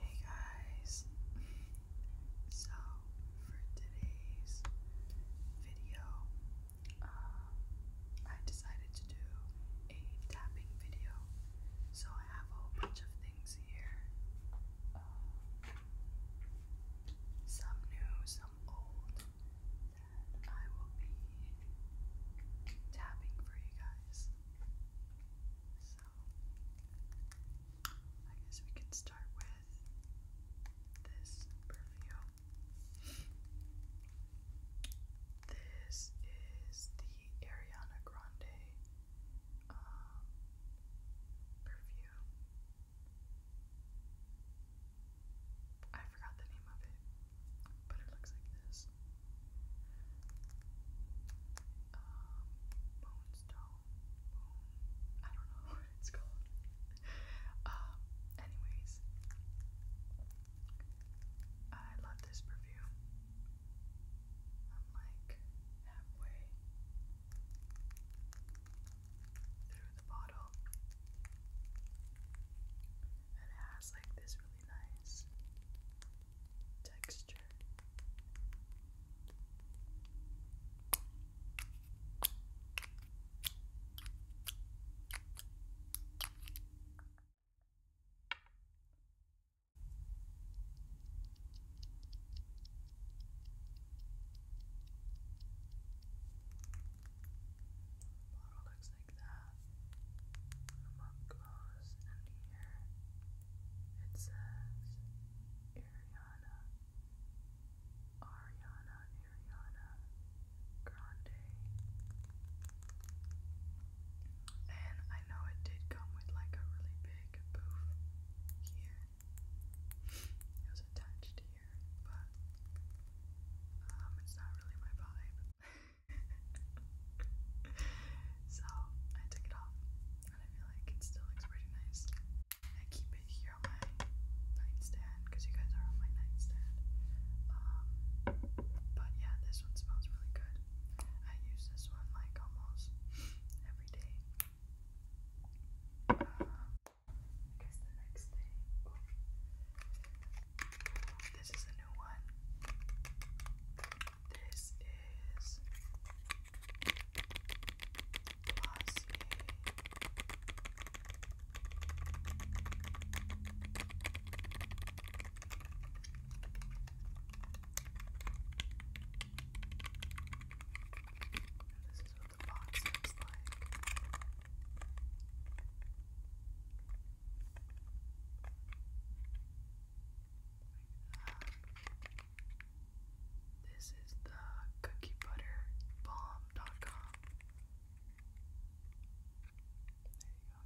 Hey guys, so for today's video, uh, I decided to do a tapping video. So I have a bunch of things here uh, some new, some old, that I will be tapping for you guys. So, I guess we can start with this perfume. this is the Ariana Grande um, perfume. I forgot the name of it, but it looks like this um, Moonstone, I don't know what it's called. um, anyways, I love this perfume. I'm like halfway through the bottle. And it has like this really nice texture. bottle looks like that. The mug and ear. It says Ariana, Ariana, Ariana Grande. And I know it did come with like a really big poof here. It was attached here, but um, it's not really my vibe. so I took it off, and I feel like it still looks pretty nice. I keep it here on my nightstand because you guys are on my nightstand. Um, but yeah, this one smells really good. I use this one like almost every day. Uh, guess the next thing. This is a new one. This is Glossier. This is what the box looks like this is the cookie butter bomb.com. There you go.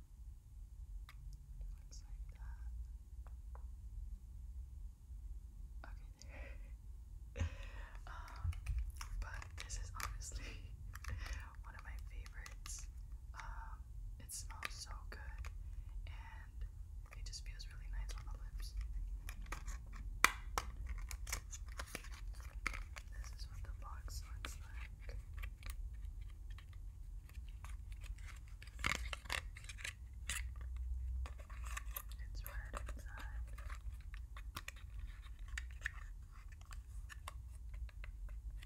Looks like that. Okay, um, but this is honestly one of my favorites. Um, it smells so good and it just feels really nice on the lips. This is what the box looks like. It's red inside.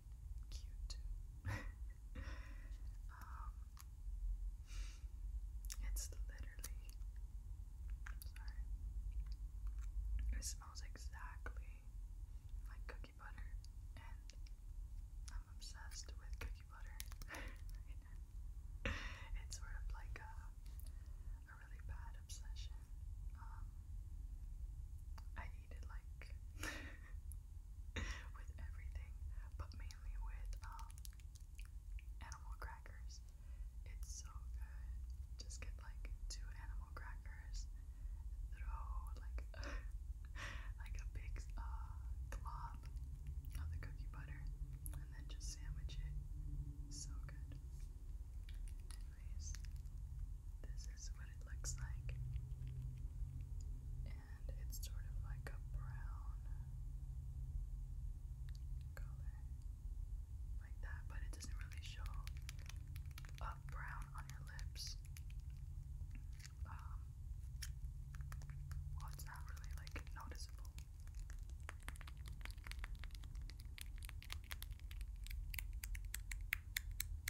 cute. Um, it's literally. Sorry. It smells exactly like cookie butter, and I'm obsessed with cookie butter. it's sort of like a, a really bad obsession. Um, I eat it like with everything, but mainly with um, animal crackers. It's so good. Just get like two animal crackers, throw like like a big uh, glob of the cookie butter, and then just sandwich it. So good. Anyways, this is what it looks like it's sort of like a brown color, like that, but it doesn't really show up brown on your lips. Um, well, it's not really like noticeable.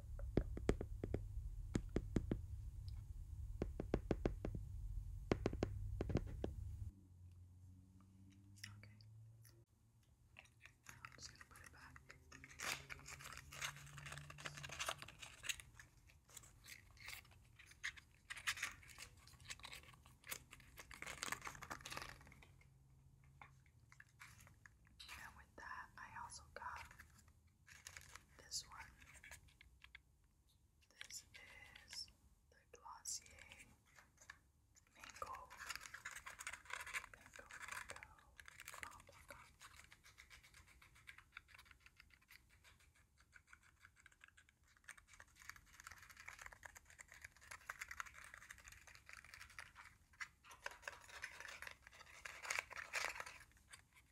I'm just going to put it back. And with that, I also got this one. This is the Glossier Mango Mango Mango I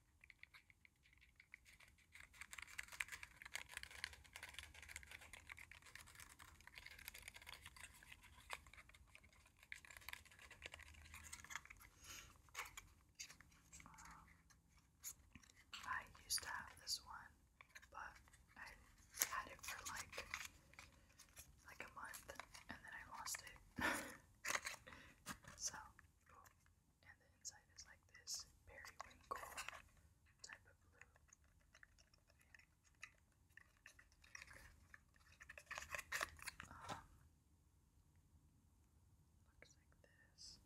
used to have this one, but I had it for like like a month and then I lost it. So, and the inside is like this periwinkle type of blue. Um, looks like this.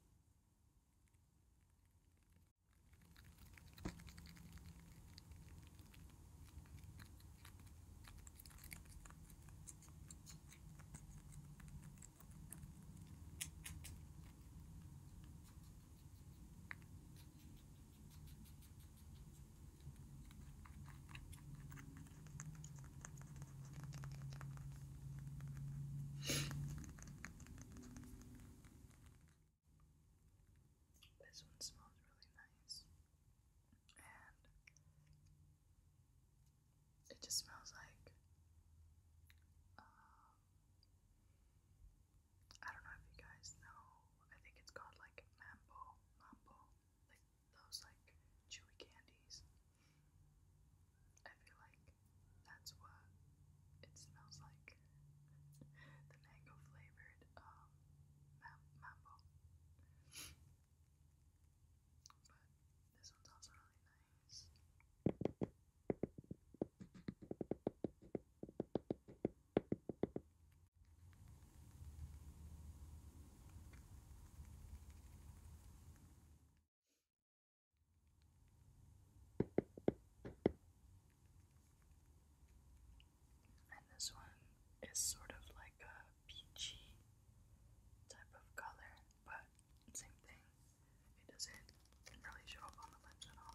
This one smells really nice and it just smells like um, I don't know if you guys know. I think it's called like mambo, mambo, like those like chewy candies. I feel like that's what it smells like. the mango flavored um, mambo. But this one's also really nice. And this one is sort of like a a type of color, but same thing. It doesn't really show up on the lips at all.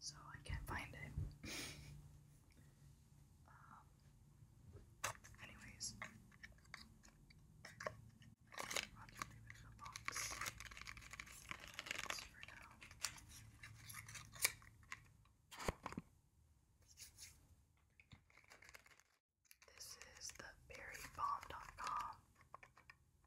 So I can't find it. Um, anyways, This is the berrybomb.com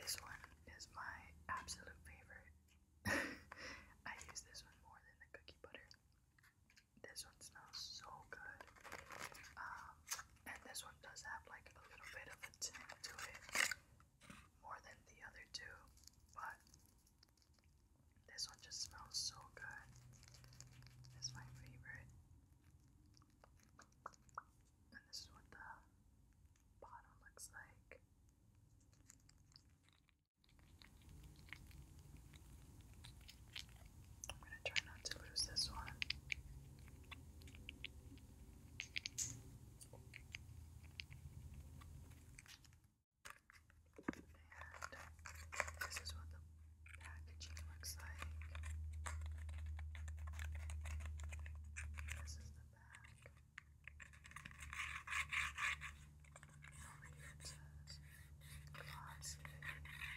This one is my absolute favorite. I use this one more than the cookie butter. This one smells so good. Um, and this one does have like a little bit of a tint to it more than the other two, but this one just smells so good. It's my favorite. And this is what the bottom looks like. I'm gonna try not to lose this one. And this is what the packaging looks like. This is the back. Over here says glossy. This is in front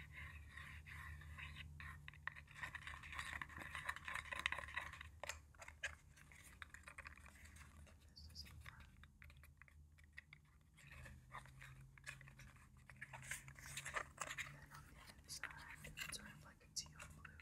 then on the other side, it's sort of like a teal blue.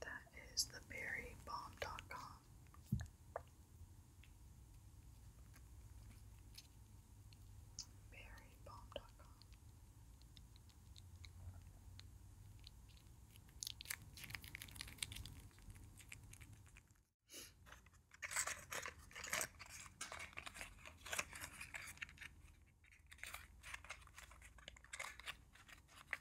That is the berrybomb.com. Berrybomb.com.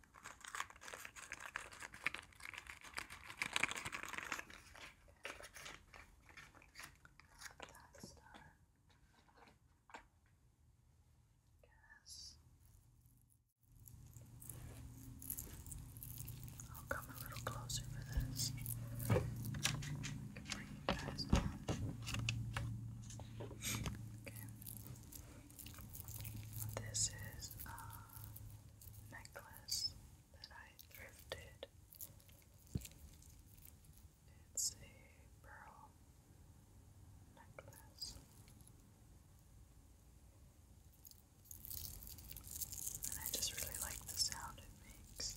That I'll come a little closer for this. you Okay. This is uh, necklace that I thrifted. It's a pearl necklace. And I just really like the sound it makes.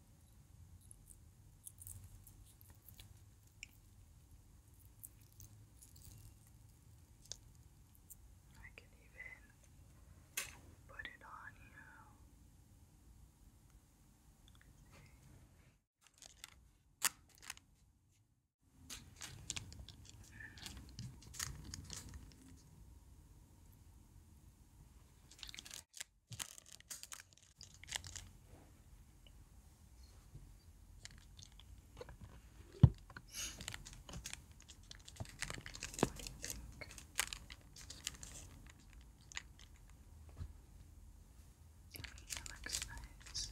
I can even put it on you. What do you think? It looks nice.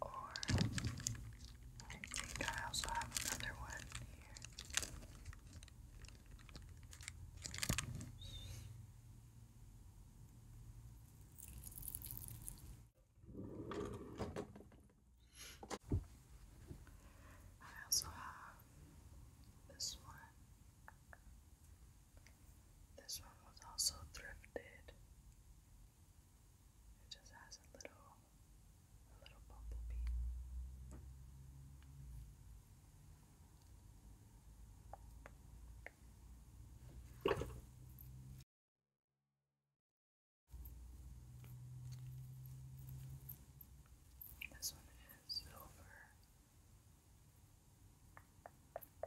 Or I also have another one here. I also have this one. This one was also thrifted. It just has a little a little This one is silver. Uh,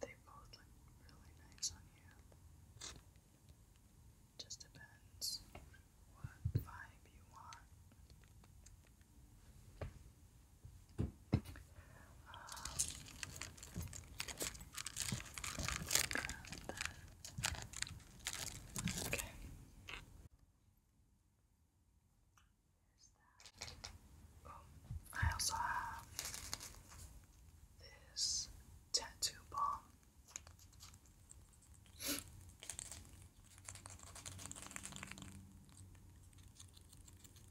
They both look really nice on you. Just depends what vibe you want. Um, okay. Um, I also have this tattoo bomb.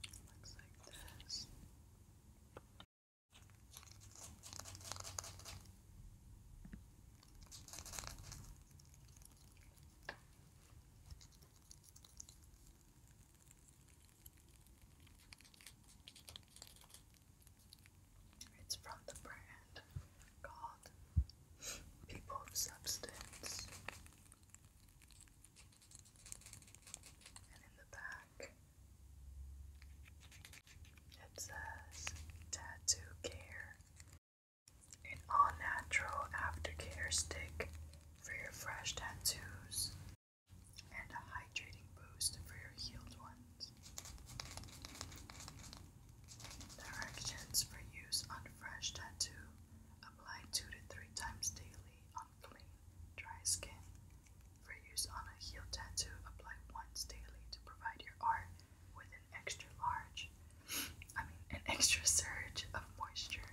Looks like this. It's from the brand called People of Substance. And in the back, it says Tattoo Care, an all natural aftercare stick for your fresh tattoos and a hydrating boost for your healed ones. Directions for use on fresh tattoo apply 2 to 3 times daily on clean, dry skin. For use on a heel tattoo, apply once daily to provide your art with an extra large, I mean, an extra surge of moisture.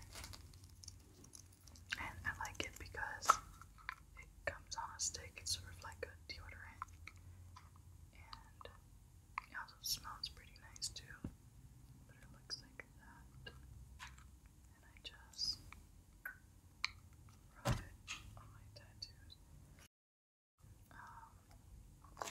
And I like it because it comes on a stick. It's sort of like a deodorant. And it also smells pretty nice too. But it looks like that. And I just rub it on my tattoos. Um,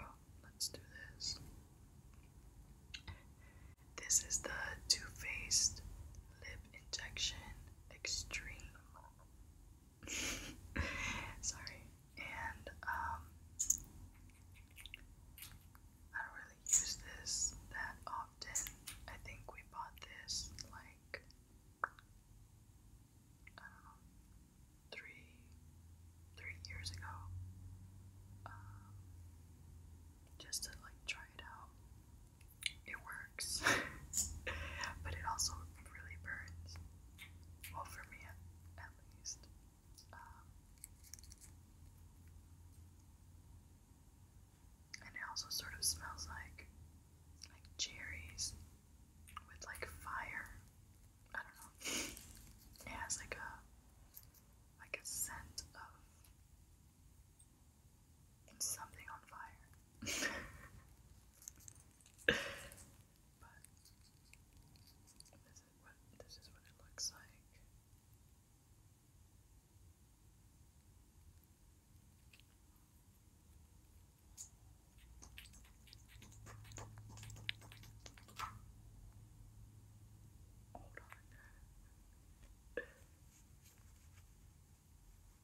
Oh, let's do this. This is the Too Faced Lip Injection Extreme Sorry. And um I don't really use this that often. I think we bought this like I don't know three three years ago. Um just to like try it out. It works. but it also really burns well for me at, least. Um, and it also sort of smells like like cherries with like fire. I don't know. It has like a like a scent of something on fire. But this is what this is what it looks like. Hold on.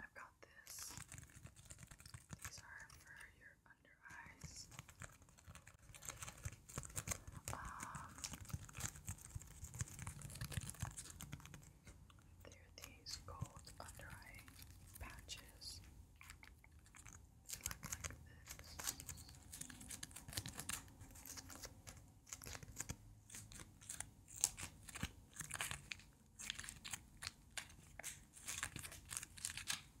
I've got this. These are for your your under eyes. Um, there are these gold under eye patches. look like this.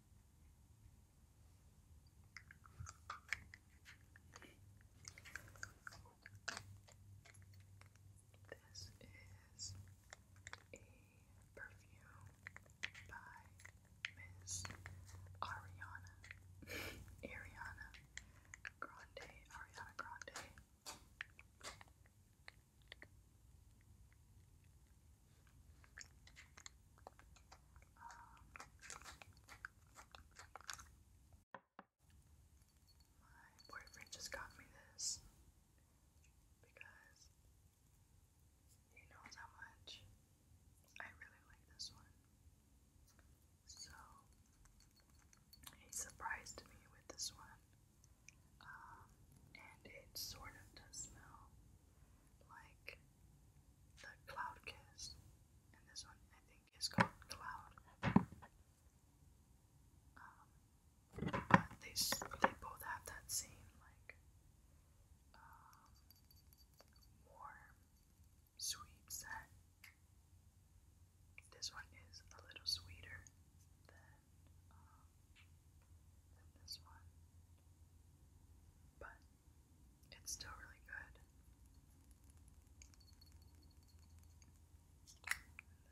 This is a perfume by Miss Ariana Ariana Grande Ariana Grande my boyfriend just got me this because he knows how much I really like this one. So he surprised me with this one. Um, and it sort of does smell like the Cloud Kiss. And this one, I think, is called Cloud. Um, but they, they both have that same, like, um, warm, sweet scent. This one is a little sweeter um, than this one, but it's still really good. And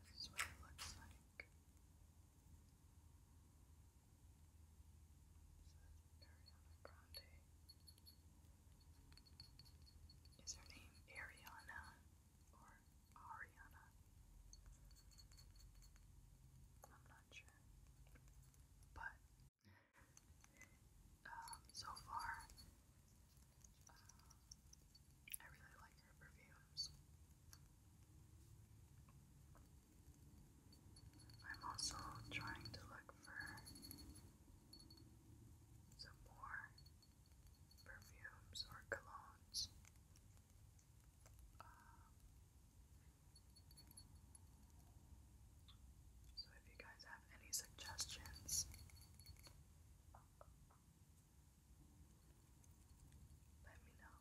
this is what it looks like. Ariana Grande. Is her name Ariana or Ariana? I'm not sure. But um, so far, um, I really like her perfumes. I'm also trying to look for some more perfumes or colognes. Um, so if you guys have any suggestions, let me know.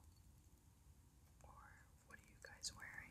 Or what are you guys wearing?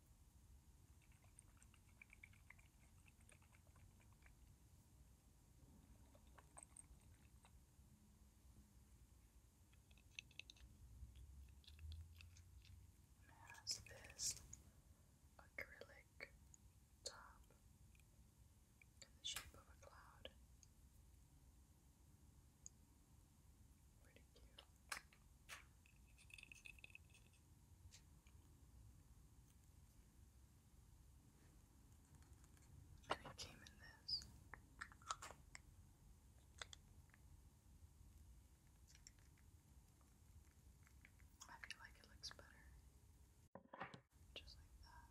has this acrylic top in the shape of a cloud. Pretty cute. And it came in this. I feel like it looks better. Just like that.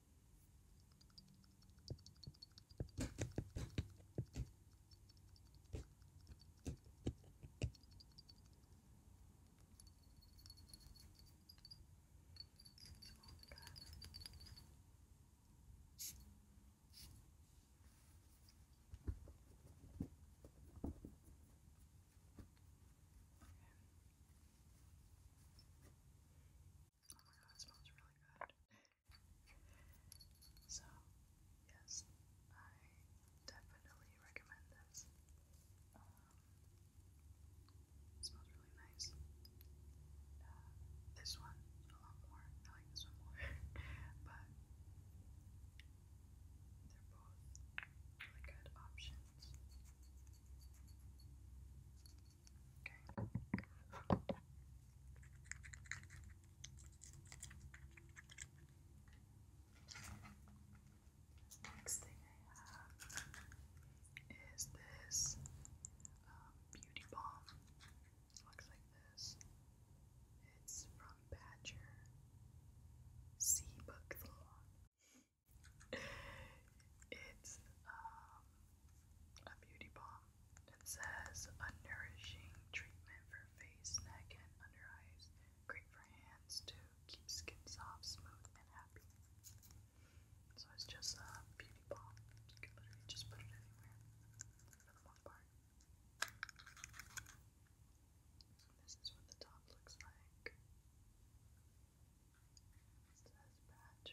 Oh my god, it smells really good. So, yes, I definitely recommend this. Um, it smells really nice. Uh, this one a lot more. I like this one more, but they're both really good options. Okay. Next thing I have is this um, beauty balm. looks like this. It's from Badger Sea Book Salon. it's um a beauty balm. It says a nourishing treatment for face, neck, and under eyes. Great for hands to keep skin soft, smooth, and happy. So it's just a beauty balm. You can literally just put it anywhere for the most part. This is what the top looks like. says Badger.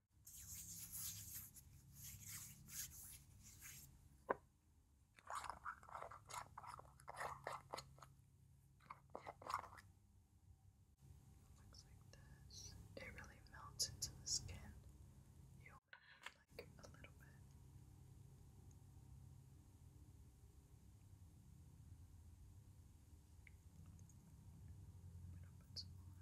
this. It really melts into the skin. You like a little bit. I'm gonna put some on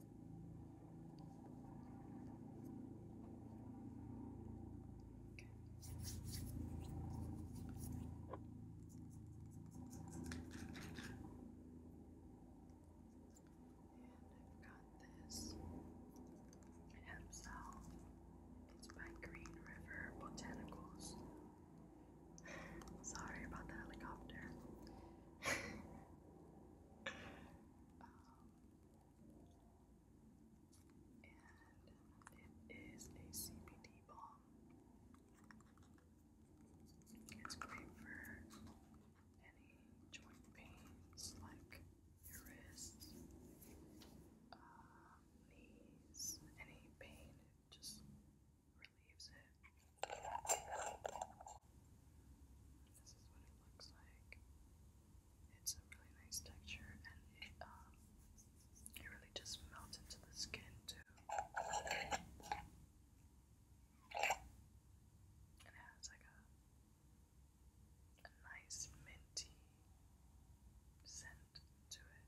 And I've got this hemsel. It's by Green River Botanicals. Sorry about the helicopter. it is a CBD balm. It's great for any joint pains like your wrists, uh, knees, any pain. It just relieves it. This is what it looks like. It's a really nice texture and it, um, it really just melts into the skin too. it has like a, a nice minty scent to it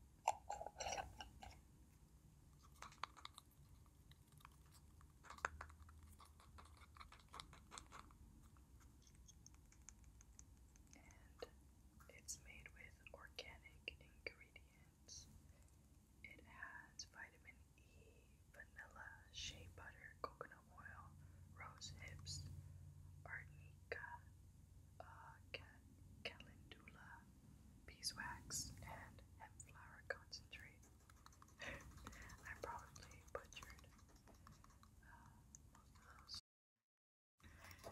it's made with organic ingredients. It has vitamin E, vanilla, shea butter, coconut oil, rose hips, arnica, uh, calendula, beeswax, and hemp flower concentrate. I probably butchered uh, those. But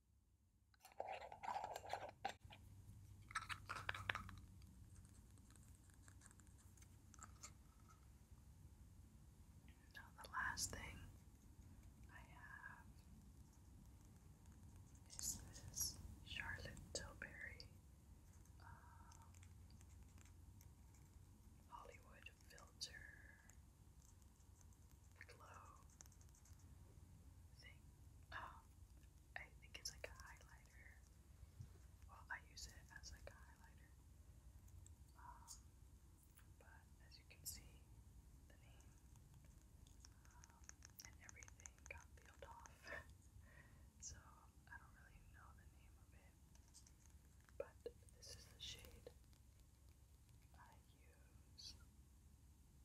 Now, the last thing I have is this Charlotte Tilbury uh, Hollywood Filter Glow thing. Oh, I think it's like a highlighter. Well, I use it as like a highlighter. Um, but as you can see, the name um, and everything got peeled off. so I don't really know the name of it. But this is the shade I use.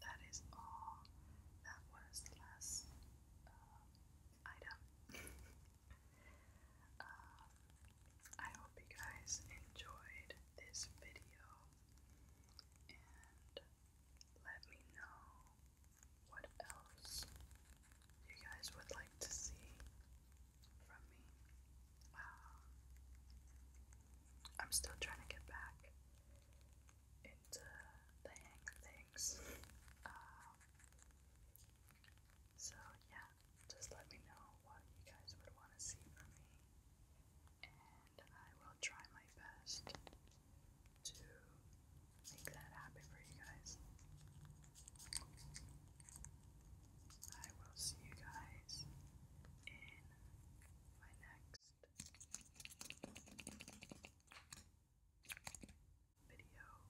That is all. That was the last uh, item. Um, I hope you guys enjoyed this video and let me know what else you guys would like to see from me. Um, I'm still trying to get back into the hang of things. Um, so, yeah, just let me know what you guys would want to see from me and I will try my best to make that happen for you guys. I will see you guys in my next video.